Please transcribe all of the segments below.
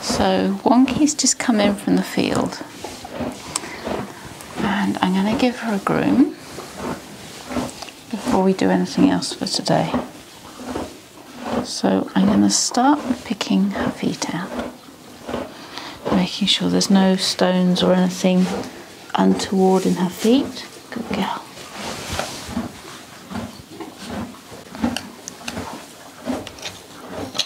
So Wonky's just come in from the field and I'm going to give her a groom before we do anything else for today. So I'm going to start picking her feet out, making sure there's no stones or anything untoward in her feet. Good girl.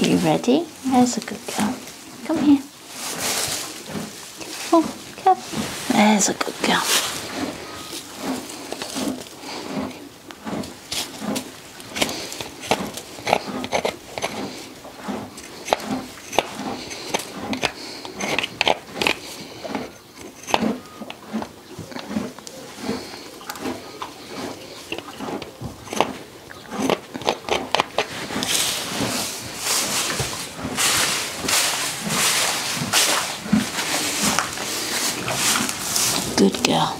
You ready? There's a good girl. Come here. Careful, oh, careful. There's a good girl. Good girl.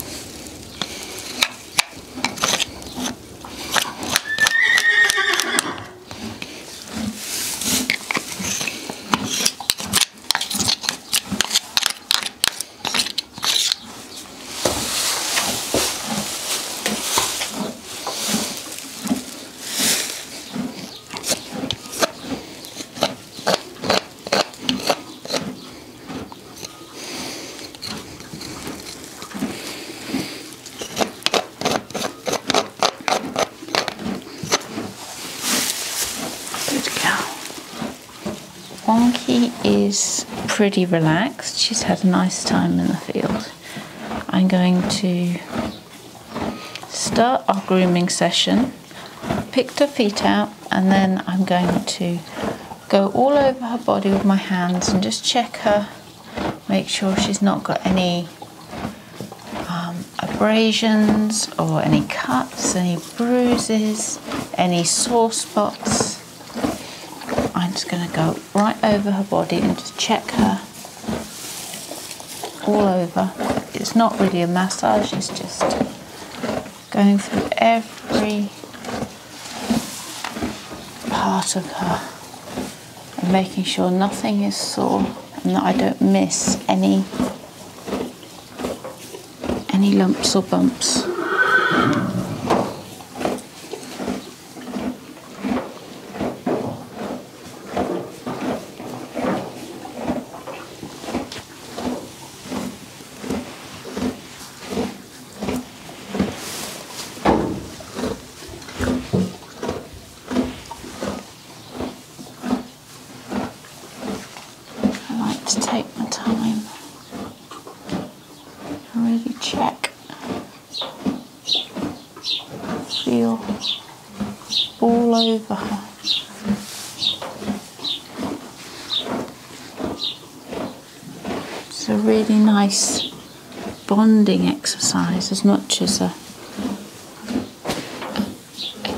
Good cow. Wonky is pretty relaxed. She's had a nice time in the field. I'm going to start our grooming session. Picked her feet out and then I'm going to go all over her body with my hands and just check her. Make sure she's not got any um, abrasions or any cuts, any bruises, any sore spots. I'm just going to go right over her body and just check her all over. It's not really a massage, it's just going through every part of her and making sure nothing is sore and that I don't miss any any lumps or bumps. I like to take my time and really check, feel all over her. It's a really nice bonding exercise as much as a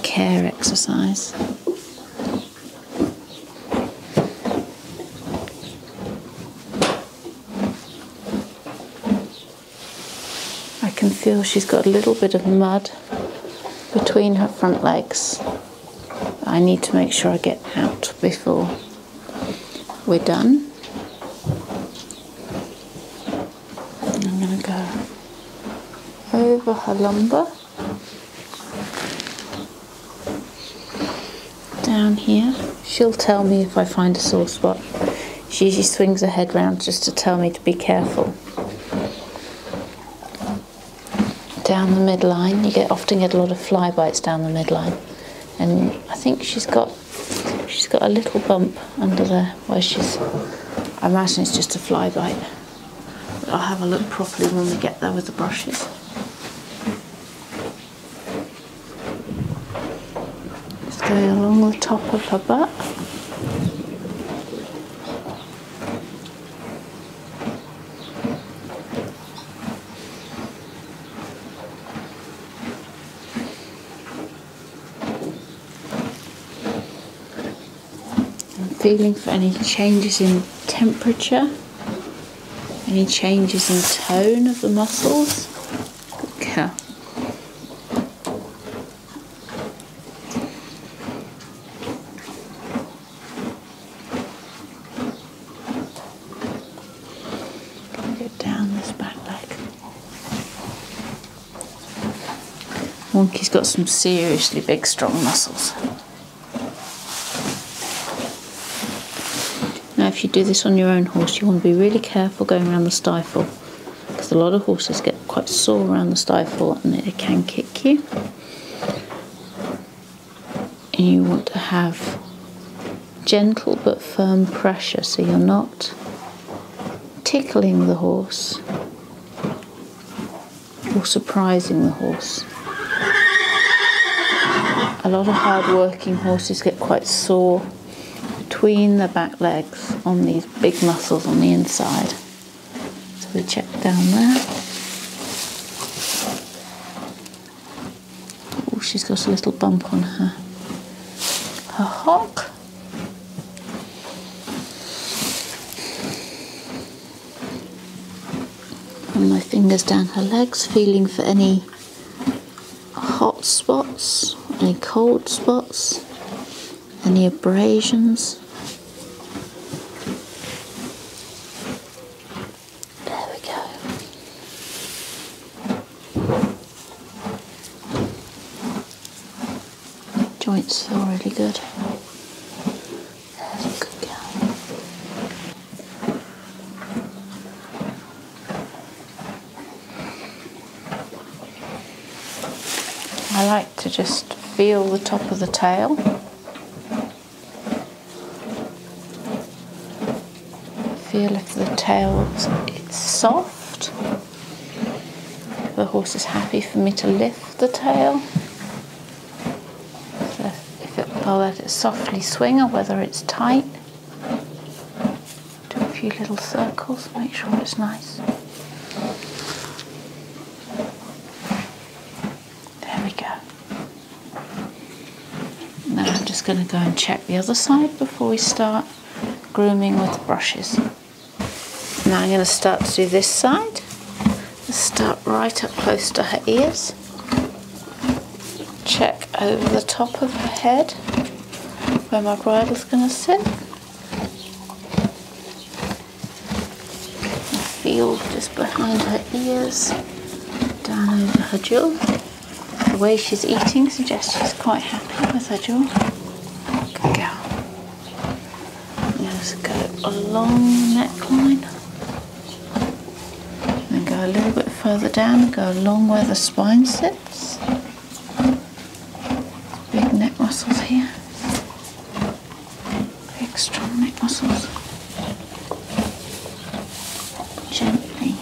care exercise. I can feel she's got a little bit of mud between her front legs. I need to make sure I get out before we're done. I'm going to go over her lumbar. Down here. She'll tell me if I find a sore spot. She usually swings her head round just to tell me to be careful. Down the midline, you get often get a lot of fly bites down the midline. And I think she's got she's got a little bump under there where she's I am imagine it's just a fly bite. I'll have a look properly when we get there with the brushes. Just going along the top of her butt. I'm feeling for any changes in temperature any changes in tone of the muscles? Good cow. Get down this back leg. Monkey's got some seriously big, strong muscles. Now if you do this on your own horse you want to be really careful going around the stifle because a lot of horses get quite sore around the stifle and they can kick you. And you want to have gentle but firm pressure so you're not tickling the horse or surprising the horse. A lot of hard working horses get quite sore between the back legs on these big muscles on the inside. So we check down there. Oh, she's got a little bump on her. Her hock. Run my fingers down her legs, feeling for any hot spots, any cold spots, any abrasions. There we go. Joints feel really good. I like to just feel the top of the tail. Feel if the tail is soft. The horse is happy for me to lift the tail if it will let it softly swing or whether it's tight. Do a few little circles, make sure it's nice. There we go. Now I'm just going to go and check the other side before we start grooming with brushes. Now I'm going to start to do this side start right up close to her ears check over the top of her head where my is going to sit feel just behind her ears down over her jaw the way she's eating suggests she's quite happy with her jaw good girl let's go along neckline and go a little bit further down, go along where the spine sits. Big neck muscles here. Big strong neck muscles. Gently,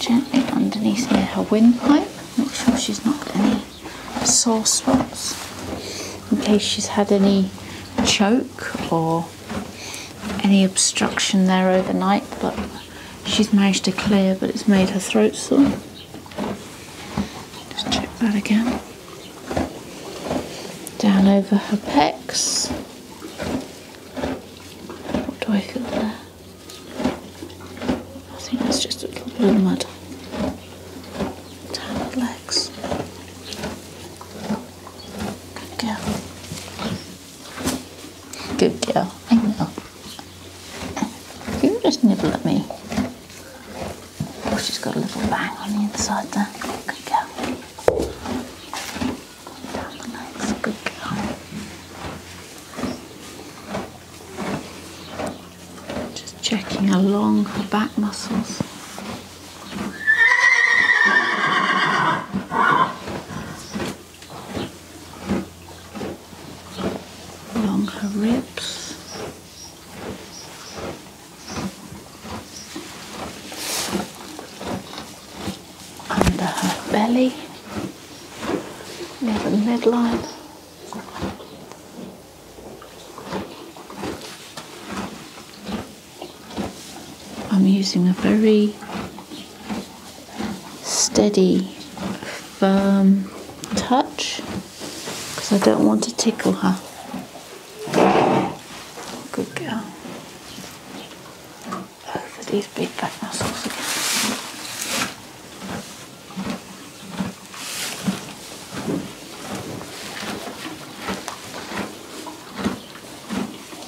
gently underneath near her windpipe. Make sure she's not any sore spots in case she's had any choke or any obstruction there overnight, but she's managed to clear, but it's made her throat sore. Just check that again. Down over her pecs. What do I feel there? I think that's just a little bit of mud. Down the legs. Good girl. Good girl. I know. You just nibble at me. Oh, she's got a little bang on the inside there. Good girl. Good girl. Just checking along her back muscles along her ribs. Under her belly, near the midline. I'm using a very steady, firm touch because I don't want to tickle her. Good girl. Over these big back muscles again.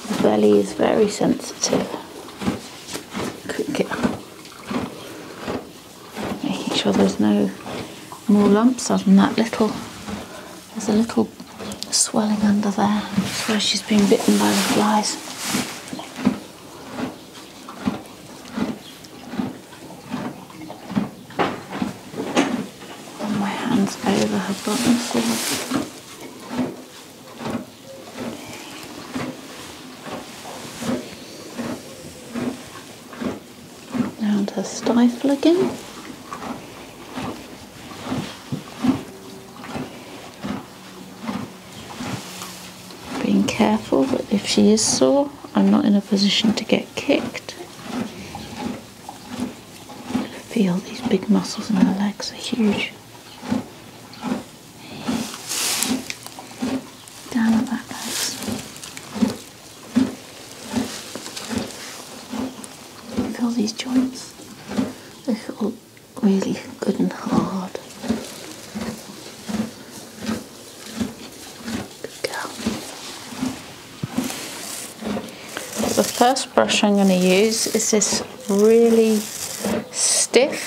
The belly is very sensitive. Make sure there's no more lumps other than that little. There's a little swelling under there. That's where she's been bitten by the flies. And my hands over her bottom down her stifle again. Being careful but if she is sore, I'm not in a position to get kicked. Feel these big muscles in her legs are huge. Down that, guys. Feel these joints. They feel really good and hard. Good girl. The first brush I'm going to use is this really stiff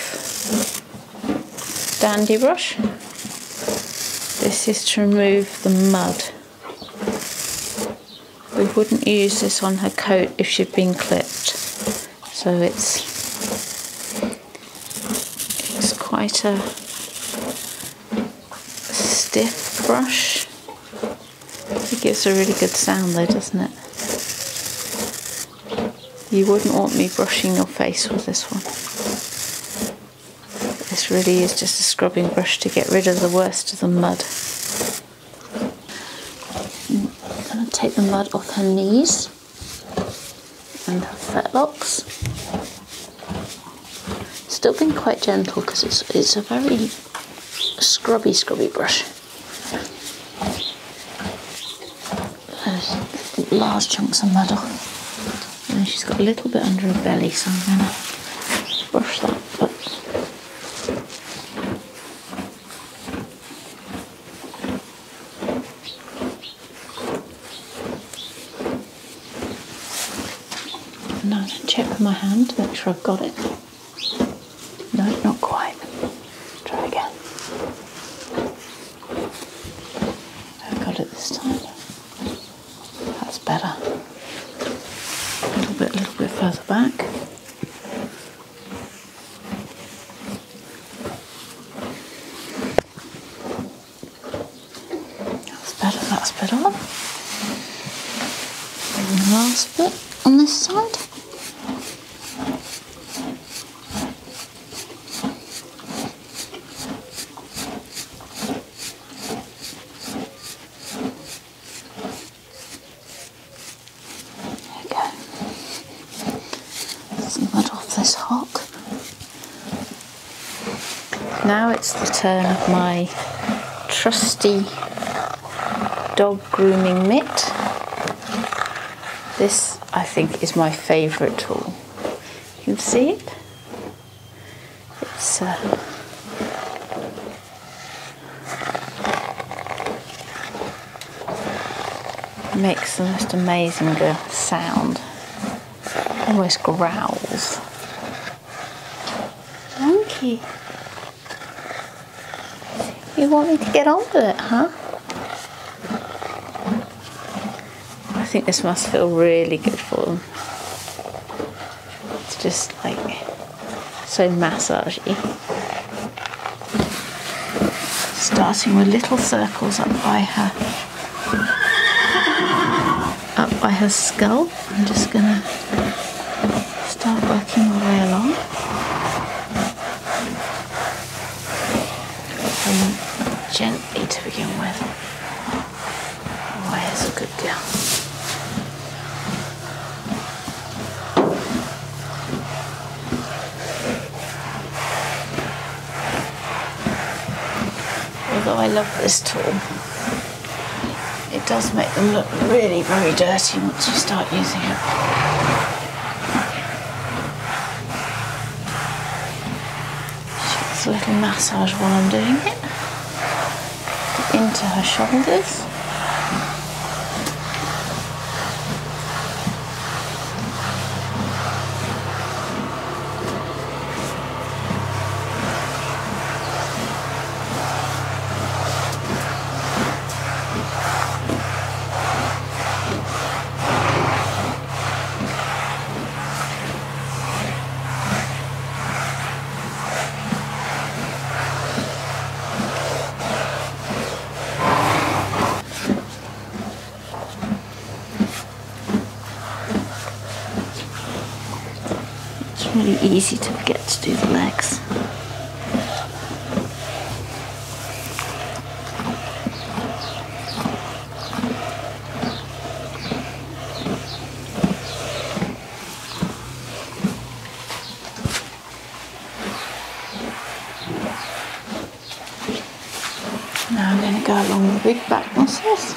dandy brush. This is to remove the mud. We wouldn't use this on her coat if she'd been clipped. So it's it's quite a stiff brush. It gives a really good sound though, doesn't it? You wouldn't want me brushing your face with this one. This really is just a scrubbing brush to get rid of the worst of the mud. I'm going to take the mud off her knees and her fetlocks. Still being quite gentle because it's, it's a very scrubby, scrubby brush. There's large chunks of mud off. she's got a little bit under her belly, so I'm going to brush that. But check with my hand to make sure I've got it. No, not quite. Try again. I got it this time. That's better. A little bit, a little bit further back. That's better. That's better. And last bit on this side. There we mud off this hock. Now it's the turn of my trusty dog grooming mitt. This, I think, is my favourite tool. You can see it. It's uh, makes the most amazing uh, sound. Almost growls. Monkey. You want me to get on with it, huh? I think this must feel really good for them. It's just like so massagey. Starting with little circles up by her up by her skull. I'm just gonna start working your way along. And gently to begin with. Always a good girl. although I love this tool. It does make them look really very dirty once you start using it. Just a little massage while I'm doing it. Into her shoulders. It's really easy to forget to do the legs. Now I'm going to go along the big back muscles.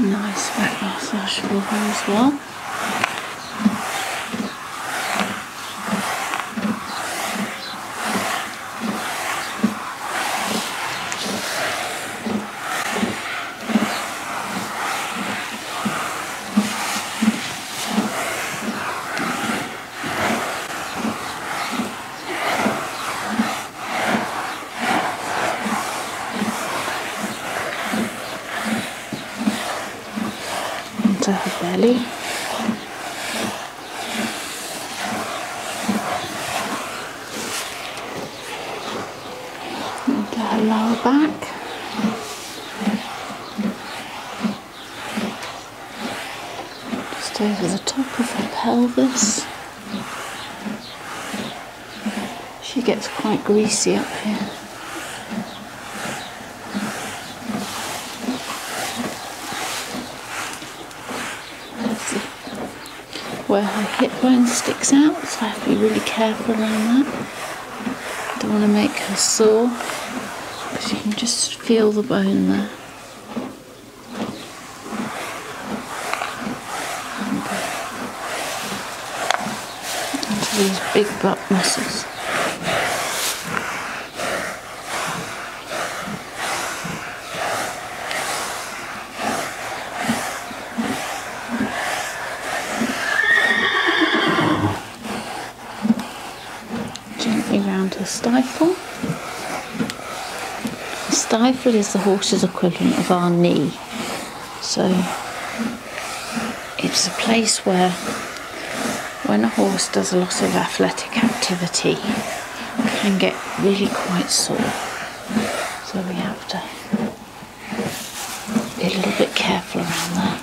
Nice back massage for her as well into her belly. Into her lower back. Just over the top of her pelvis. She gets quite greasy up here. where her hip bone sticks out, so I have to be really careful around that. Don't want to make her sore, because you can just feel the bone there. Into these big butt muscles. Gently round to stifle stifle is the horse's equivalent of our knee. So it's a place where when a horse does a lot of athletic activity can get really quite sore. So we have to be a little bit careful around that.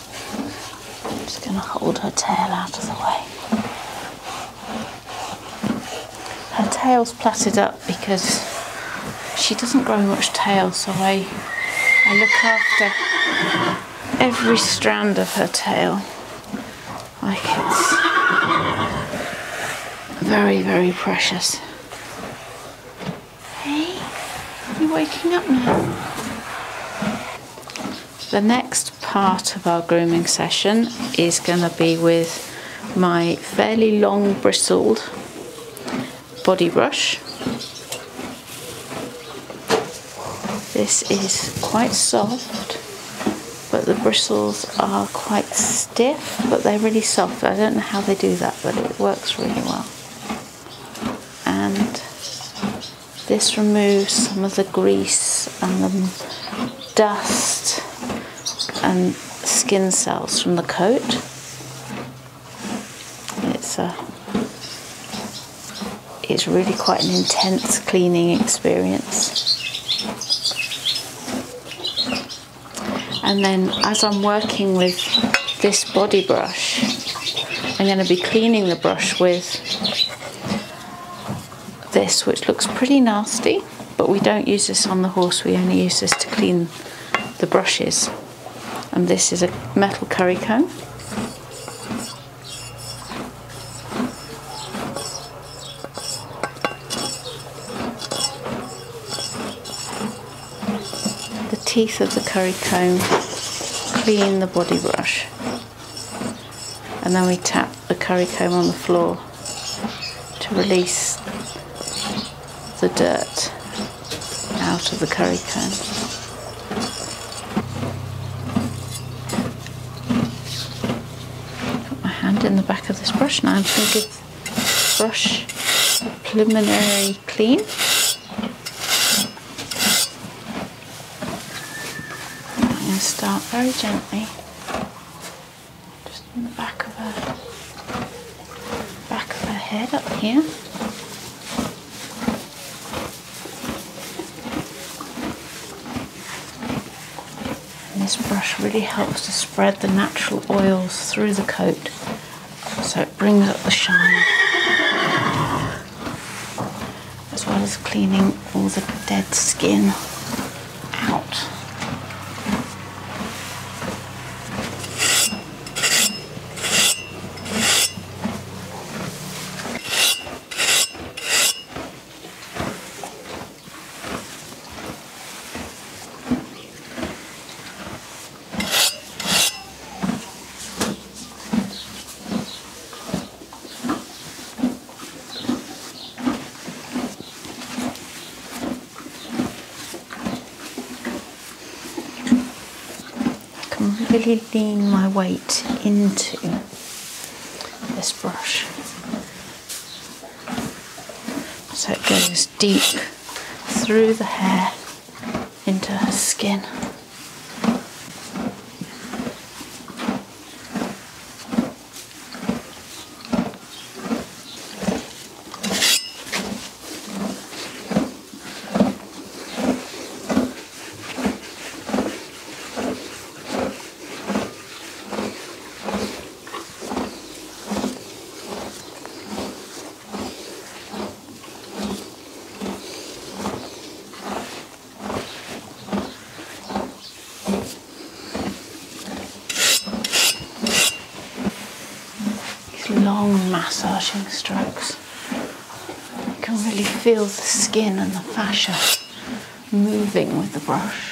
I'm just going to hold her tail out of the way. Her tail's plaited up because she doesn't grow much tail, so I, I look after every strand of her tail like it's very, very precious. Hey, you're waking up now. The next part of our grooming session is going to be with my fairly long bristled body brush. This is quite soft, but the bristles are quite stiff, but they're really soft. I don't know how they do that, but it works really well and this removes some of the grease and the dust and skin cells from the coat. It's a it's really quite an intense cleaning experience. And then as I'm working with this body brush. I'm going to be cleaning the brush with this, which looks pretty nasty, but we don't use this on the horse, we only use this to clean the brushes. And this is a metal curry comb the teeth of the curry comb, clean the body brush, and then we tap the curry comb on the floor to release the dirt out of the curry comb. Put my hand in the back of this brush now. I'm going to give the brush a preliminary clean. I'm going to start very gently, just in the back of her, back of her head up here. And this brush really helps to spread the natural oils through the coat so it brings up the shine as well as cleaning all the dead skin out can really lean my weight into this brush so it goes deep through the hair into her skin. These long massaging strokes. You can really feel the skin and the fascia moving with the brush.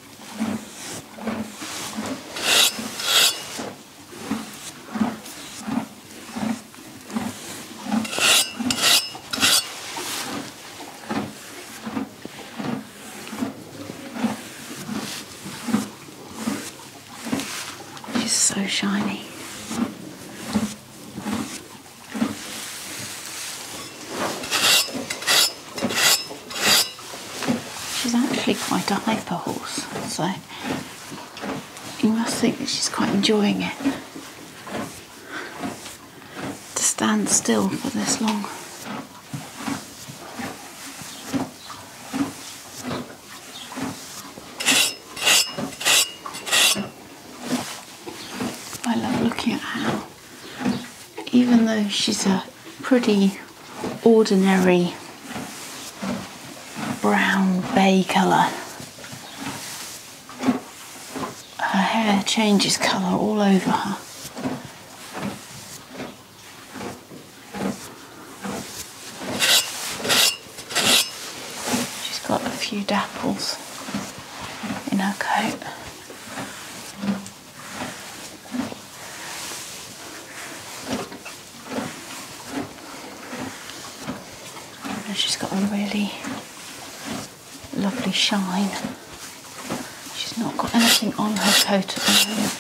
She's so shiny. She's actually quite a hyper horse, so you must think that she's quite enjoying it. To stand still for this long. I love looking at how even though she's a pretty ordinary brown bay colour, her hair changes colour all over her. She's got a few dapples in her coat. She's got a really lovely shine. She's not got anything on her coat at the moment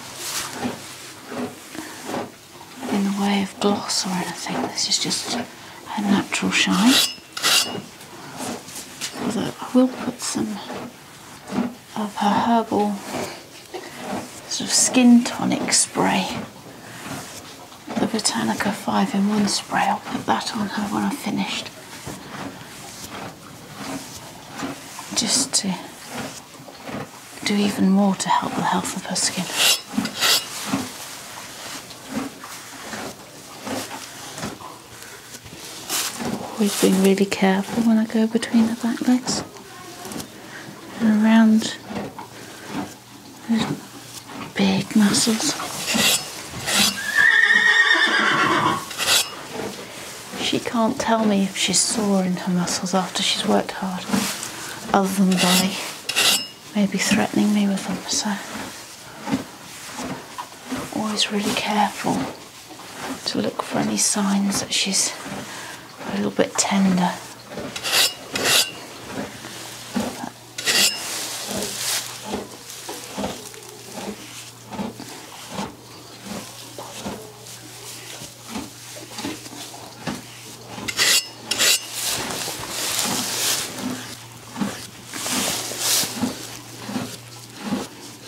in the way of gloss or anything. This is just her natural shine. I will put some of her herbal sort of skin tonic spray, the Botanica 5 in 1 spray, I'll put that on her when I've finished. Just to do even more to help the health of her skin. Always being really careful when I go between the back legs and around those big muscles. She can't tell me if she's sore in her muscles after she's worked hard, other than by maybe threatening me with them. So always really careful to look for any signs that she's a little bit tender. Okay.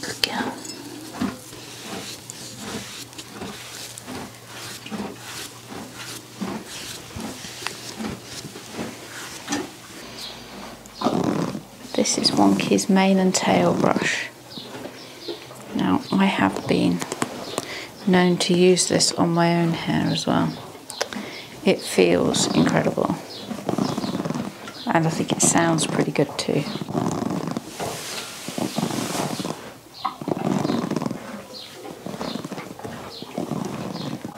Good This is Wonky's mane and tail brush. Now I have been known to use this on my own hair as well. It feels incredible. And I think it sounds pretty good too.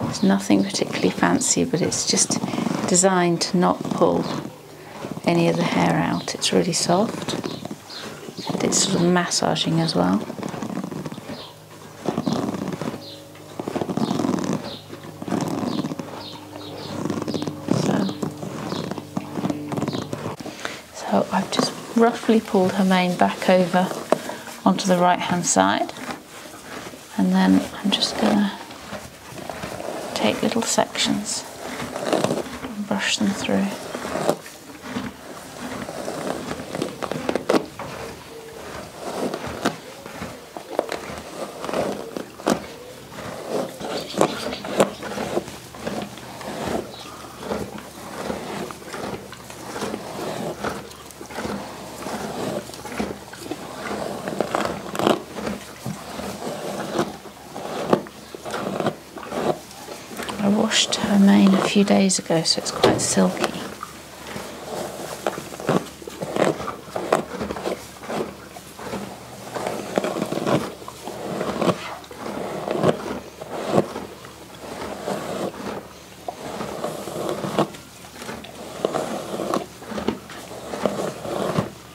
It's nothing particularly fancy, but it's just designed to not pull any of the hair out. It's really soft. Did sort of massaging as well. So, so I've just roughly pulled her mane back over onto the right hand side and then I'm just going to take little sections just brush them through. I washed her mane a few days ago, so it's quite silky.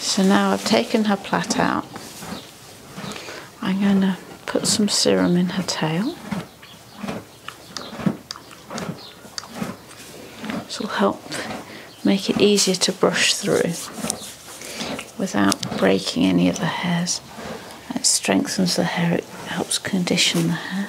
So now I've taken her plait out. I'm going to put some serum in her tail. This will help make it easier to brush through without breaking any of the hairs. It strengthens the hair, it helps condition the hair.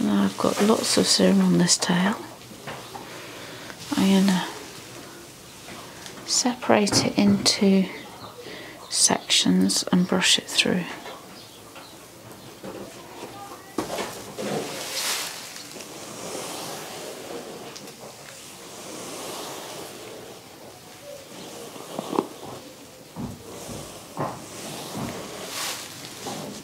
Now I've got lots of serum on this tail. I'm going to separate it into sections and brush it through.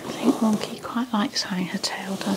I think Wonky quite likes having her tail done.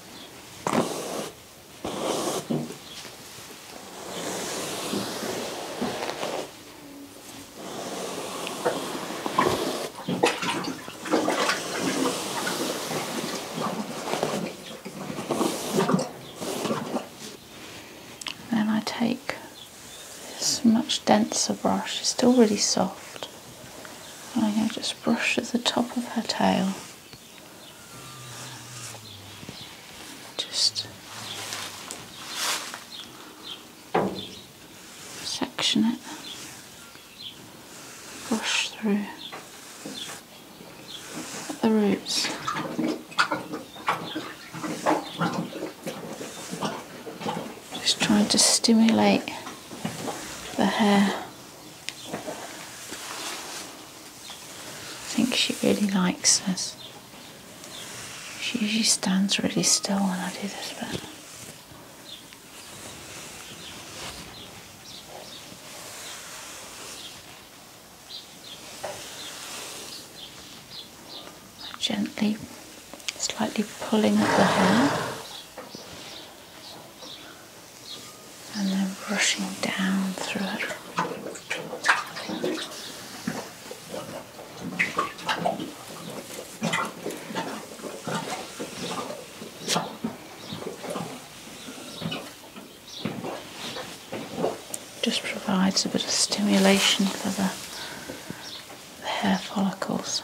Then I take this much denser brush, it's still really soft. I just brush at the top of her tail. Just section it, brush through the roots. Just trying to stimulate the hair. I think she really likes us. She usually stands really still when I do this, but. gently, slightly pulling at the hair and then brushing down through it. Just provides a bit of stimulation for the, the hair follicles.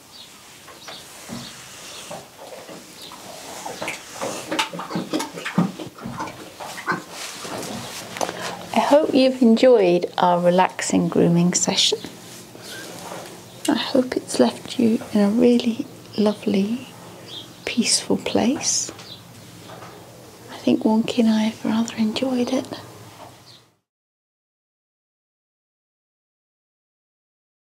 I hope you've enjoyed our relaxing grooming session. I hope it's left you in a really lovely, peaceful place. I think Wonky and I have rather enjoyed it.